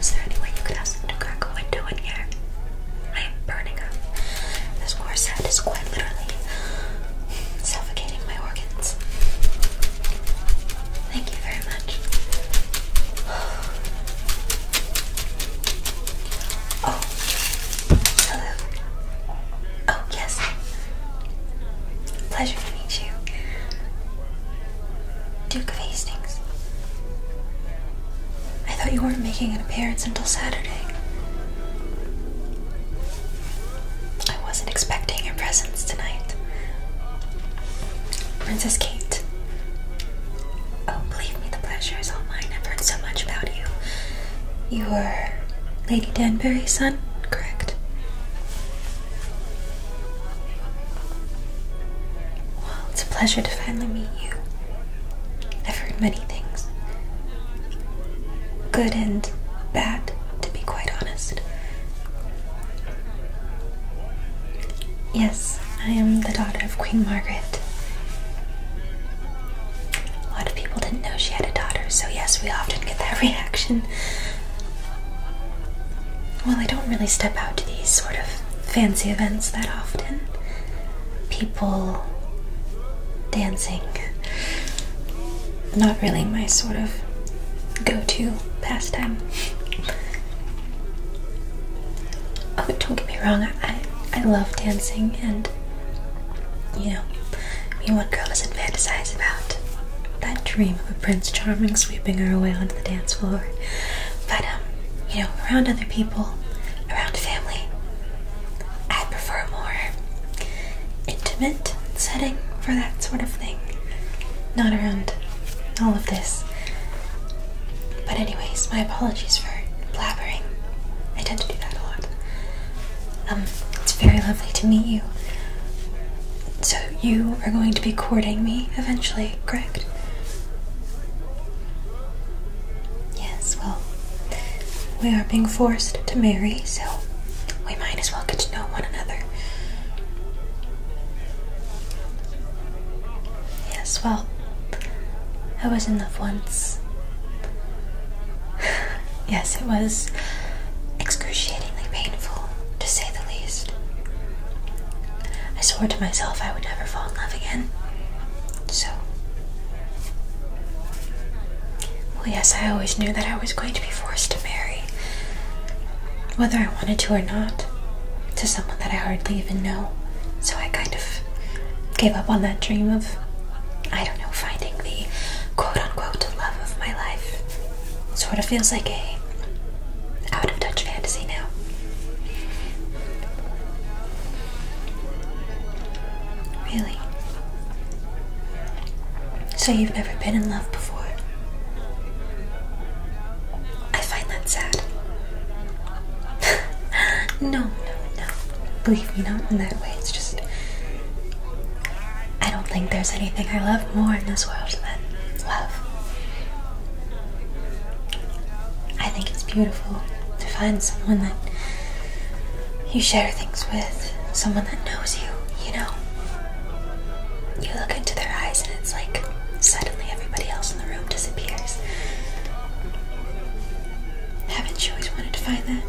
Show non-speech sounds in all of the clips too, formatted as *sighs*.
Is there any way you could ask them to crack a window here? I am burning up. This corset is quite literally suffocating my organs. Thank you very much. *sighs* Oh, hello. Oh, yes. Pleasure to meet you. Duke of Hastings. I thought you weren't making an appearance until Saturday. I wasn't expecting your presence tonight. Princess Kate. Oh, believe me, the pleasure is all mine. I've heard so much about you. You are Lady Danbury's son, correct? it's a pleasure to finally meet you. I've heard many things. Good and bad, to be quite honest. Yes, I am the daughter of Queen Margaret. A lot of people didn't know she had a daughter, so yes, we often get that *laughs* reaction. Well, I don't really step out to these sort of fancy events that often. People dancing. Not really my sort of go to pastime. Oh, don't get me wrong, I, I love dancing, and you know, I mean, what girl fantasize about that dream of a Prince Charming sweeping her away onto the dance floor. But, um, you know, around other people, around family, I prefer a more intimate setting for that sort of thing. Not around all of this. But, anyways, my apologies for blabbering. I tend to do that a lot. Um, it's very lovely to meet you. So you are going to be courting me eventually, correct? Yes, well, we are being forced to marry, so we might as well get to know one another. Yes, well, I was in love once. *sighs* yes, it was excruciatingly painful, to say the least. I swore to myself I would never fall in love again. So. Well, yes, I always knew that I was going to be forced to marry, whether I wanted to or not, to someone that I hardly even know. So I kind of gave up on that dream of, I don't know, finding the quote unquote love of my life. Sort of feels like a out of touch fantasy now. Really? So you've never been in love before? I find that sad. *laughs* no, no, no. Believe me, not in that way. It's just. I don't think there's anything I love more in this world than love. I think it's beautiful to find someone that you share things with, someone that knows you, you know. You look into their eyes and it's like suddenly everybody else in the room disappears. Haven't you always wanted to find that?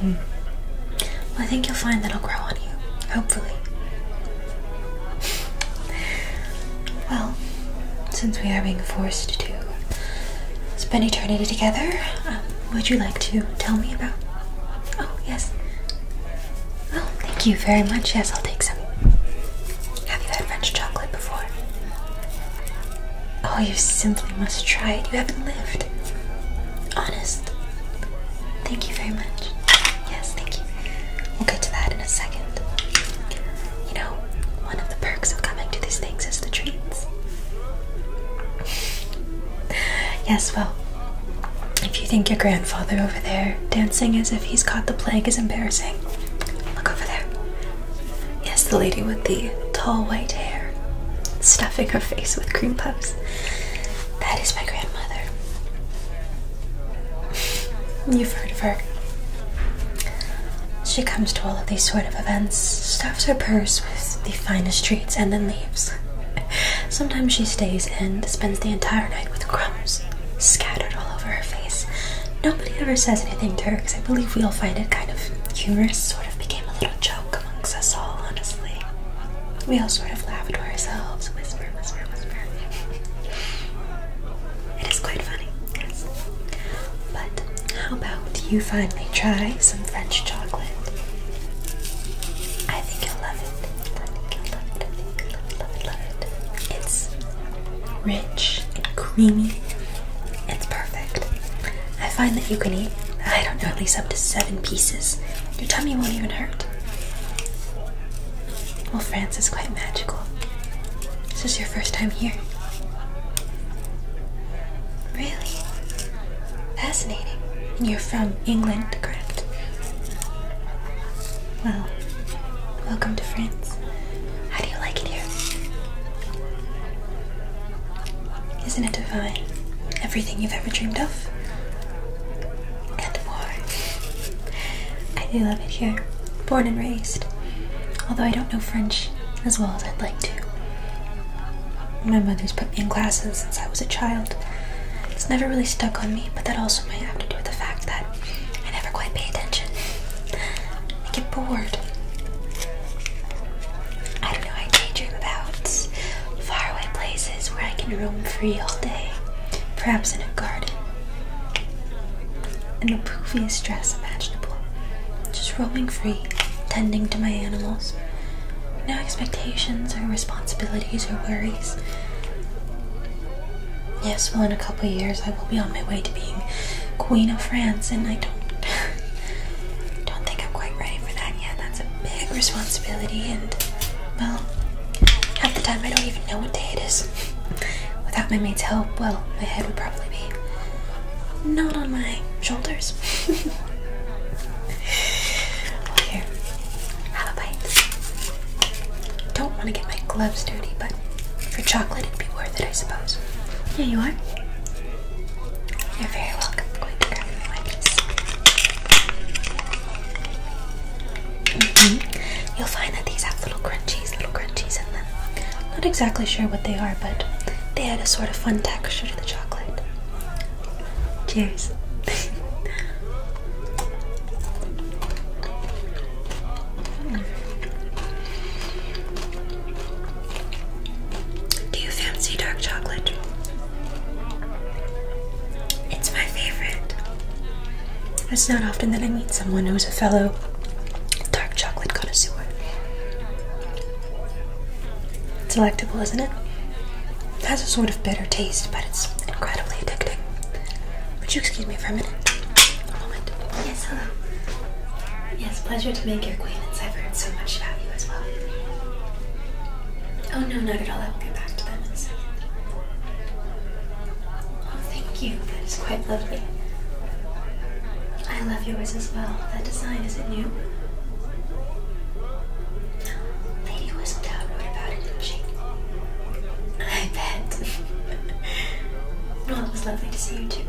Hmm. I think you'll find that'll grow on you, hopefully. well, since we are being forced to spend eternity together, um, would you like to tell me about? Oh, yes. Well, thank you very much. Yes, I'll take some. Have you had French chocolate before? Oh, you simply must try it. You haven't lived. Honestly. Thank you very much. Yes, thank you. We'll get to that in a second. You know, one of the perks of coming to these things is the treats. *laughs* yes, well, if you think your grandfather over there dancing as if he's caught the plague is embarrassing, look over there. Yes, the lady with the tall white hair, stuffing her face with cream puffs. That is my grandmother. *laughs* You've heard of her. She comes to all of these sort of events, stuffs her purse with the finest treats, and then leaves. *laughs* Sometimes she stays and spends the entire night with crumbs scattered all over her face. Nobody ever says anything to her because I believe we all find it kind of humorous, sort of became a little joke amongst us all, honestly. We all sort of laugh to ourselves, whisper, whisper, whisper. it is quite funny, But how about you finally try some French chocolate? I think you'll love it. love it. love it, love it, love it. It's rich and creamy. It's perfect. I find that you can eat, I don't know, at least up to seven pieces. Your tummy won't even hurt. Well, France is quite magical. This is your first time here. Really? Fascinating. And you're from England, correct? Well, welcome to France. How do you like it here? Isn't it divine? Everything you've ever dreamed of? And more. I do love it here, born and raised. Although I don't know French as well as I'd like to. My mother's put me in classes since I was a child. It's never really stuck on me, but that also might have to do with the fact that I never quite pay attention. I get bored. I don't know, I daydream about faraway places where I can roam free all day, perhaps in a garden, in the poofiest dress imaginable, just roaming free, tending to my animals. No expectations or responsibilities or worries. Yes, well, in a couple years, I will be on my way to being Queen of France, and I don't, *laughs* don't think I'm quite ready for that yet. That's a big responsibility, and well, half the time I don't even know what day it is. *laughs* Without my mate's help, well, my head would probably be not on my shoulders. *laughs* here, have a bite. Don't want to get my gloves dirty, but for chocolate it'd be worth it, I suppose. Yeah, you are. You're very welcome. going to grab you my piece. You'll find that these have little crunchies, little crunchies in them. Not exactly sure what they are, but they add a sort of fun texture to the chocolate. Cheers. *laughs* Do you fancy dark chocolate? It's my favorite. It's not often that I meet someone who's a fellow dark chocolate connoisseur. Selectable, isn't it? It has a sort of bitter taste, but it's incredibly addicting. Would you excuse me for a minute? moment. Yes, hello. Yes, pleasure to make your acquaintance. I've heard so much about you as well. Oh, no, not at all. I will get back to them in a second. Oh, thank you. That is quite lovely. I love yours as well. That design, is it new? Lady Whistledown wrote about it, she? I bet. *laughs* well, it was lovely to see you too.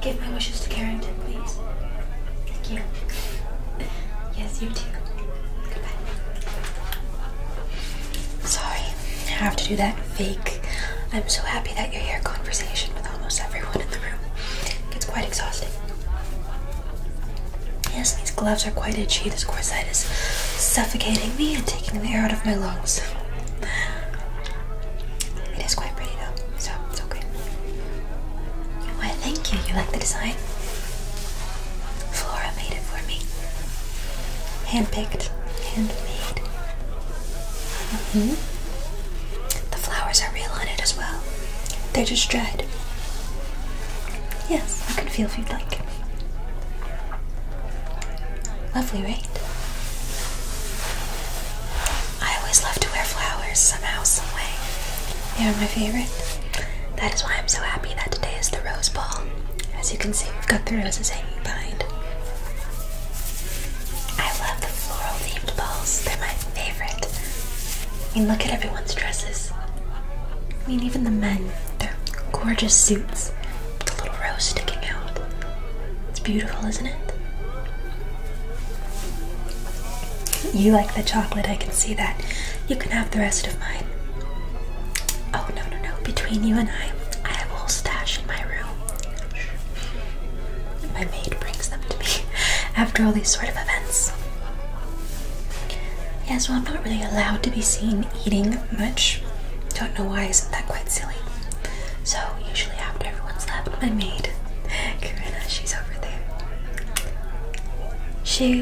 Give my wishes to Carrington please. Thank you. Yes, you too. Goodbye. Sorry, I have to do that fake. I'm so happy that your hair conversation with almost everyone in the room. gets quite exhausting. Yes, these gloves are quite itchy. This corset is suffocating me and taking the air out of my lungs. It is quite pretty though, so thank you. You like the design? Flora made it for me. Handpicked, handmade. Mm-hmm. The flowers are real on it as well. They're just dried. Yes, I can feel if you'd like. Lovely, right? I always love to wear flowers somehow, some way. You're my favorite. That is why I'm so happy that today is the rose ball. As you can see, we've got the roses hanging behind. I love the floral themed balls, they're my favorite. I mean, look at everyone's dresses. I mean, even the men, their gorgeous suits the little rose sticking out. It's beautiful, isn't it? You like the chocolate, I can see that. You can have the rest of mine. Oh, no, no, no. Between you and I, I have a whole stash in my room. My maid brings them to me *laughs* after all these sort of events. Yes, well, I'm not really allowed to be seen eating much. Don't know why, isn't that quite silly? So, usually after everyone's left, my maid, Karina, *laughs* she's over she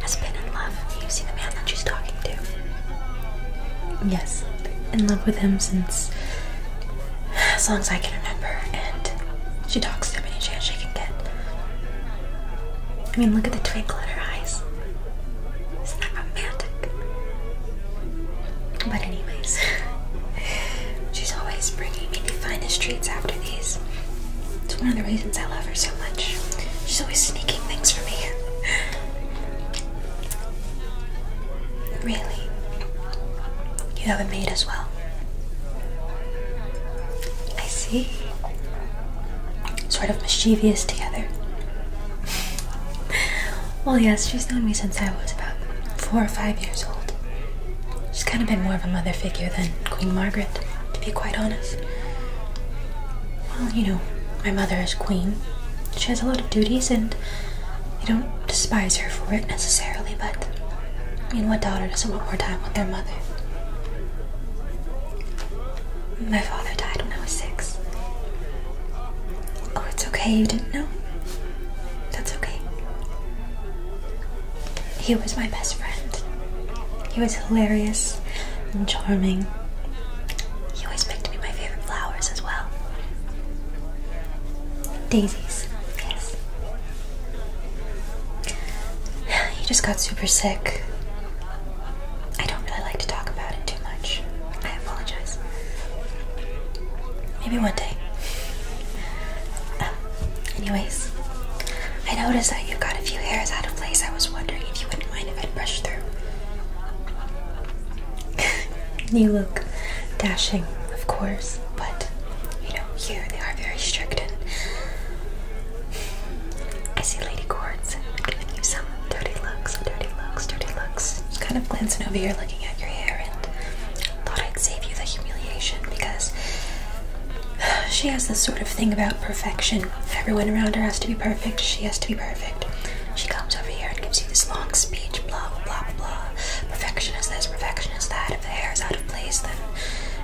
has been in love. You see the man that she's talking to? Yes, in love with him since as long as I can remember, and she talks to him any chance she can get. I mean, look at the twinkle in her eyes. Isn't that romantic? But anyways, *laughs* she's always bringing me the finest treats after it's one of the reasons I love her so much. She's always sneaking things for me. really? You have not made as well? I see. Sort of mischievous together. *laughs* well, yes, she's known me since I was about four or five years old. She's kind of been more of a mother figure than Queen Margaret, to be quite honest. Well, you know, my mother is queen. She has a lot of duties, and I don't despise her for it necessarily, but I mean, what daughter doesn't want more time with their mother? My father died when I was six. Oh, it's okay, you didn't know? That's okay. He was my best friend. He was hilarious and charming. He always picked me my favorite flowers as well. Daisies, yes. *sighs* He just got super sick. I don't really like to talk about it too much. I apologize. Maybe one day. Anyways, I noticed that you got a few hairs out of place. I was wondering if you wouldn't mind if i brushed through. *laughs* you look dashing, of course, but you know, here they are very strict and I see Lady Quartz giving you some dirty looks, dirty looks, dirty looks. Just kind of glancing over here looking at your hair and Thought I'd save you the humiliation because *sighs* she has this sort of thing about perfection. Everyone around her has to be perfect. She has to be perfect. She comes over here and gives you this long speech, blah, blah, blah, blah. Perfection is this, perfection is that. If the hair is out of place, then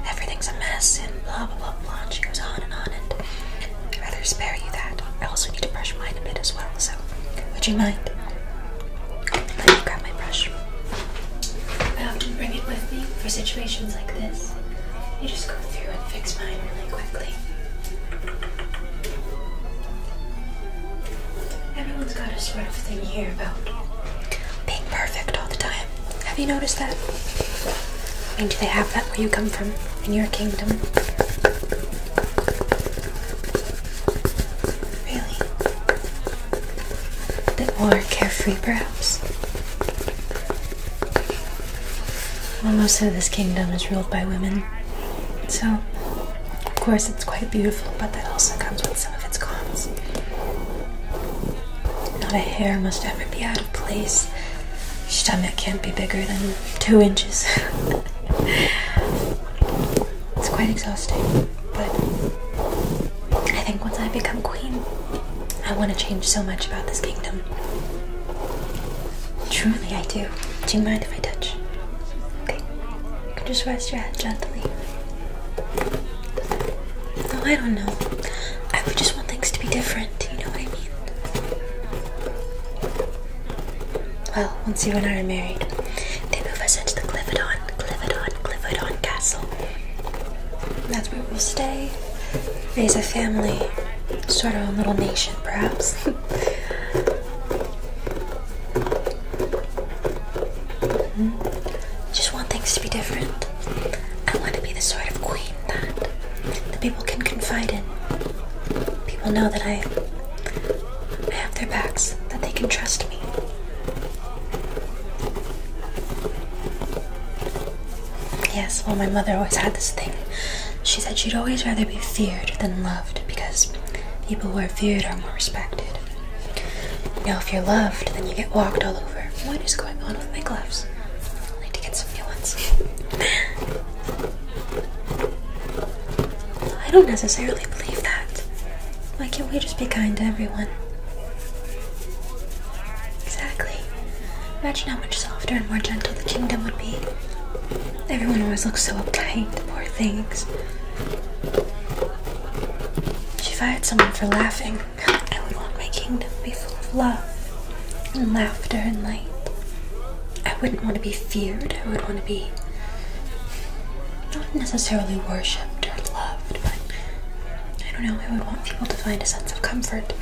everything's a mess, and blah, blah, blah, blah. she goes on and on, and I'd rather spare you that. I also need to brush mine a bit as well, so would you mind? Let me grab my brush. I often bring it with me for situations like this. You just go through and fix mine really quickly. Everyone's got a sort of thing here about being perfect all the time. Have you noticed that? I mean, do they have that where you come from, in your kingdom? Really? A bit more carefree, perhaps. Well, most of this kingdom is ruled by women, so of course it's quite beautiful, but that also comes with some of its cons. Not a hair must ever be out of place. Your stomach can't be bigger than two inches. *laughs* it's quite exhausting. But I think once I become queen, I want to change so much about this kingdom. Truly, I do. Do you mind if I touch? Okay. just rest your head gently. No, oh, I don't know. I would just want things to be different, you know what I mean? Well, once you and I are married, they move us into the Clividon, Clividon, Clividon Castle. That's where we'll stay, raise a family, start our own little nation, perhaps. Hmm? Just want things to be different. I want to be the sort of queen that the people can confide in. People know that I, I have their backs, that they can trust me. Yes, well, my mother always had this thing. She said she'd always rather be feared than loved because people who are feared are more respected. Now, if you're loved, then you get walked all over. What is going on with my gloves? I need to get some new ones. I don't necessarily believe that. Why can't we just be kind to everyone? Exactly. Imagine how much softer and more gentle the kingdom would be. Everyone always looks so uptight, poor things. If I had someone for laughing, I would want my kingdom to be full of love and laughter and light. I wouldn't want to be feared, I would want to be not necessarily worshipped or loved, but I don't know, I would want people to find a sense of comfort.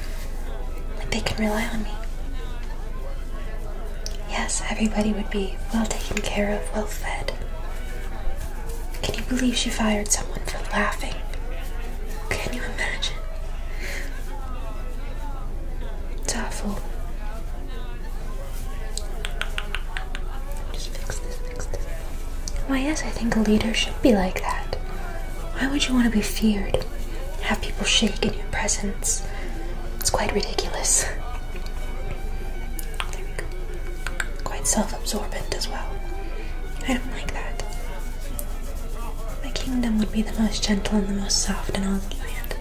Like they can rely on me. Yes, everybody would be well taken care of, well fed. Can you believe she fired someone for laughing? Can you imagine? It's Just fix this, fix why, yes, I think a leader should be like that. Why would you want to be feared? Have people shake in your presence? It's quite ridiculous. Quite self absorbent as well. I don't like that. My kingdom would be the most gentle and the most soft in all the land.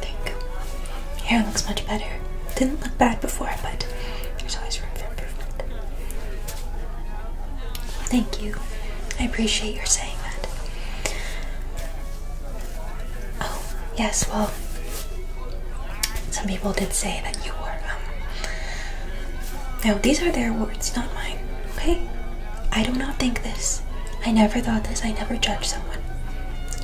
There you go. Hair looks much better. Didn't look bad before, but there's always room for improvement. Thank you. I appreciate your saying that. Oh, yes, well, some people did say that you were. Um, no, these are their words, not mine. Okay? I do not think this. I never thought this. I never judge someone.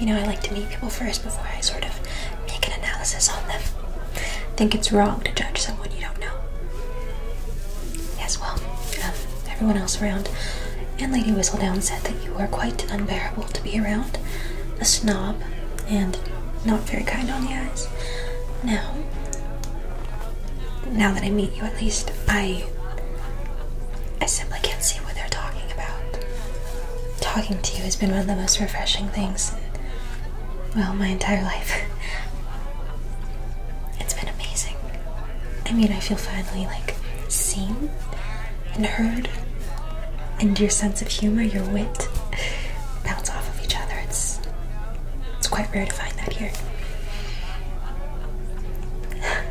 You know, I like to meet people first before I sort of make an analysis on them. I think it's wrong to judge someone you don't know. Yes, well, um, everyone else around and Lady Whistledown said that you were quite unbearable to be around, a snob, and not very kind on the eyes. Now, now that I meet you, at least I, I simply can't see what they're talking about. Talking to you has been one of the most refreshing things well, my entire life. it's been amazing. I mean, I feel finally like seen and heard, and your sense of humor, your wit, bounce off of each other. It's it's quite rare to find that here.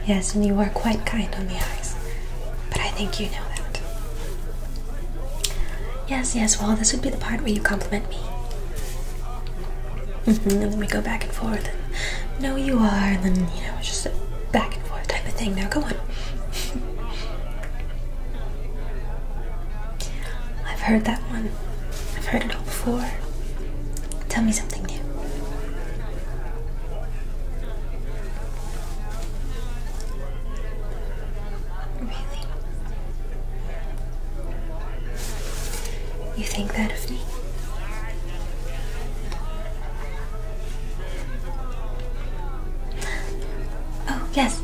yes, and you are quite kind on the eyes, but I think you know that. Yes, yes, well, this would be the part where you compliment me. and mm-hmm, then we go back and forth, and no, you are, and then, you know, just a back and forth type of thing. Now, go on. *laughs* I've heard that one, I've heard it all before. Tell me something new. Really? You think that of me? Oh, yes.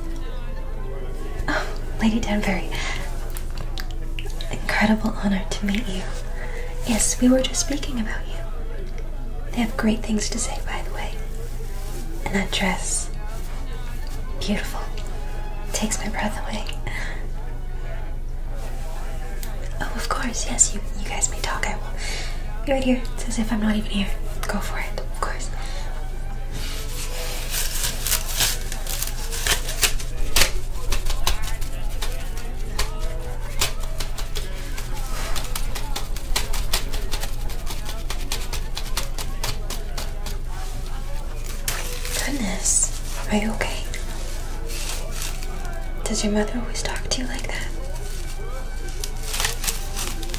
Oh, Lady Danbury. Incredible honor to meet you. Yes, we were just speaking about you. They have great things to say, by the way. And that dress, beautiful, takes my breath away. Oh, of course, yes, you, you guys may talk. I will be right here. It's as if I'm not even here. Go for it, of course. Goodness, are you okay? Does your mother always talk to you like that?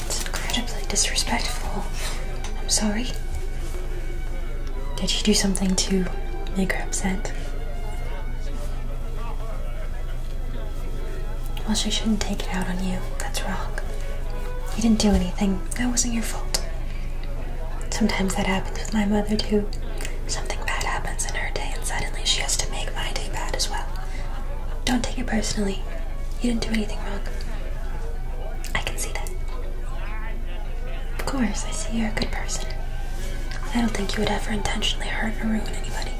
It's incredibly disrespectful. I'm sorry. Did you do something to make her upset? Well, she shouldn't take it out on you. That's wrong. You didn't do anything that wasn't your fault. Sometimes that happens with my mother too. Something bad happens in her day, and suddenly she has to make my day bad as well. Don't take it personally. You didn't do anything wrong. I can see that. Of course, I see you're a good person. I don't think you would ever intentionally hurt or ruin anybody.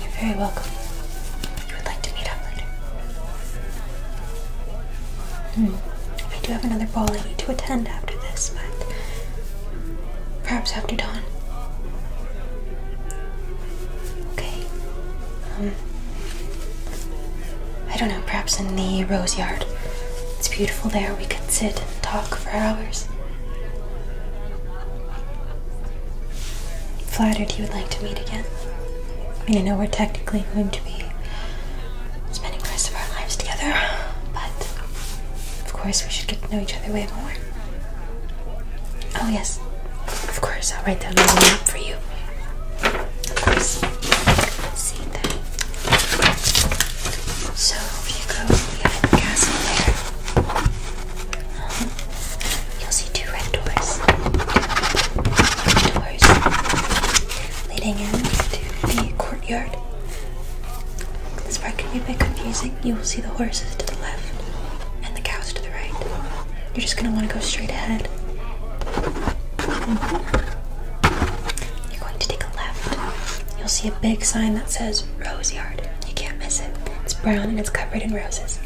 You're very welcome. I would like to meet up later. Hmm. I do have another ball I need to attend after this, but perhaps after dawn. Okay. Um. I don't know, perhaps in the rose yard. It's beautiful there. We could sit and talk for hours. Flattered you would like to meet again. I mean, I know we're technically going to be spending the rest of our lives together, but of course we should get to know each other way more. Oh, yes, of course, I'll write down a little map for you. Of course, see that. So, you go behind the there, You'll see two red doors. leading into the courtyard. This part can be a bit confusing. You will see the horses to the left and the cows to the right. You're just gonna want to go straight ahead. Mm-hmm. You're going to take a left. You'll see a big sign that says Rose Yard. You can't miss it. It's brown and it's covered in roses.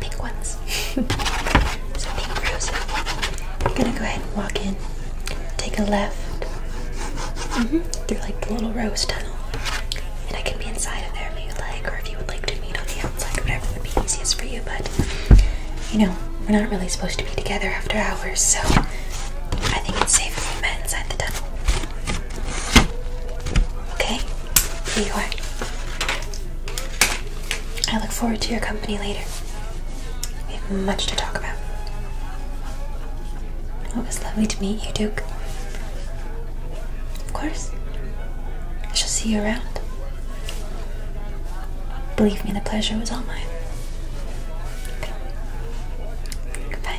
Pink ones so being frozen, I'm gonna go ahead and walk in, take a left mm-hmm. through like the little rose tunnel, and I can be inside of there if you like, or if you would like to meet on the outside, whatever would be easiest for you. But you know, we're not really supposed to be together after hours, so I think it's safe if we met inside the tunnel. Okay. Here I look forward to your company later. We have much to talk about. It was lovely to meet you, Duke. Of course. I shall see you around. Believe me, the pleasure was all mine. Goodbye.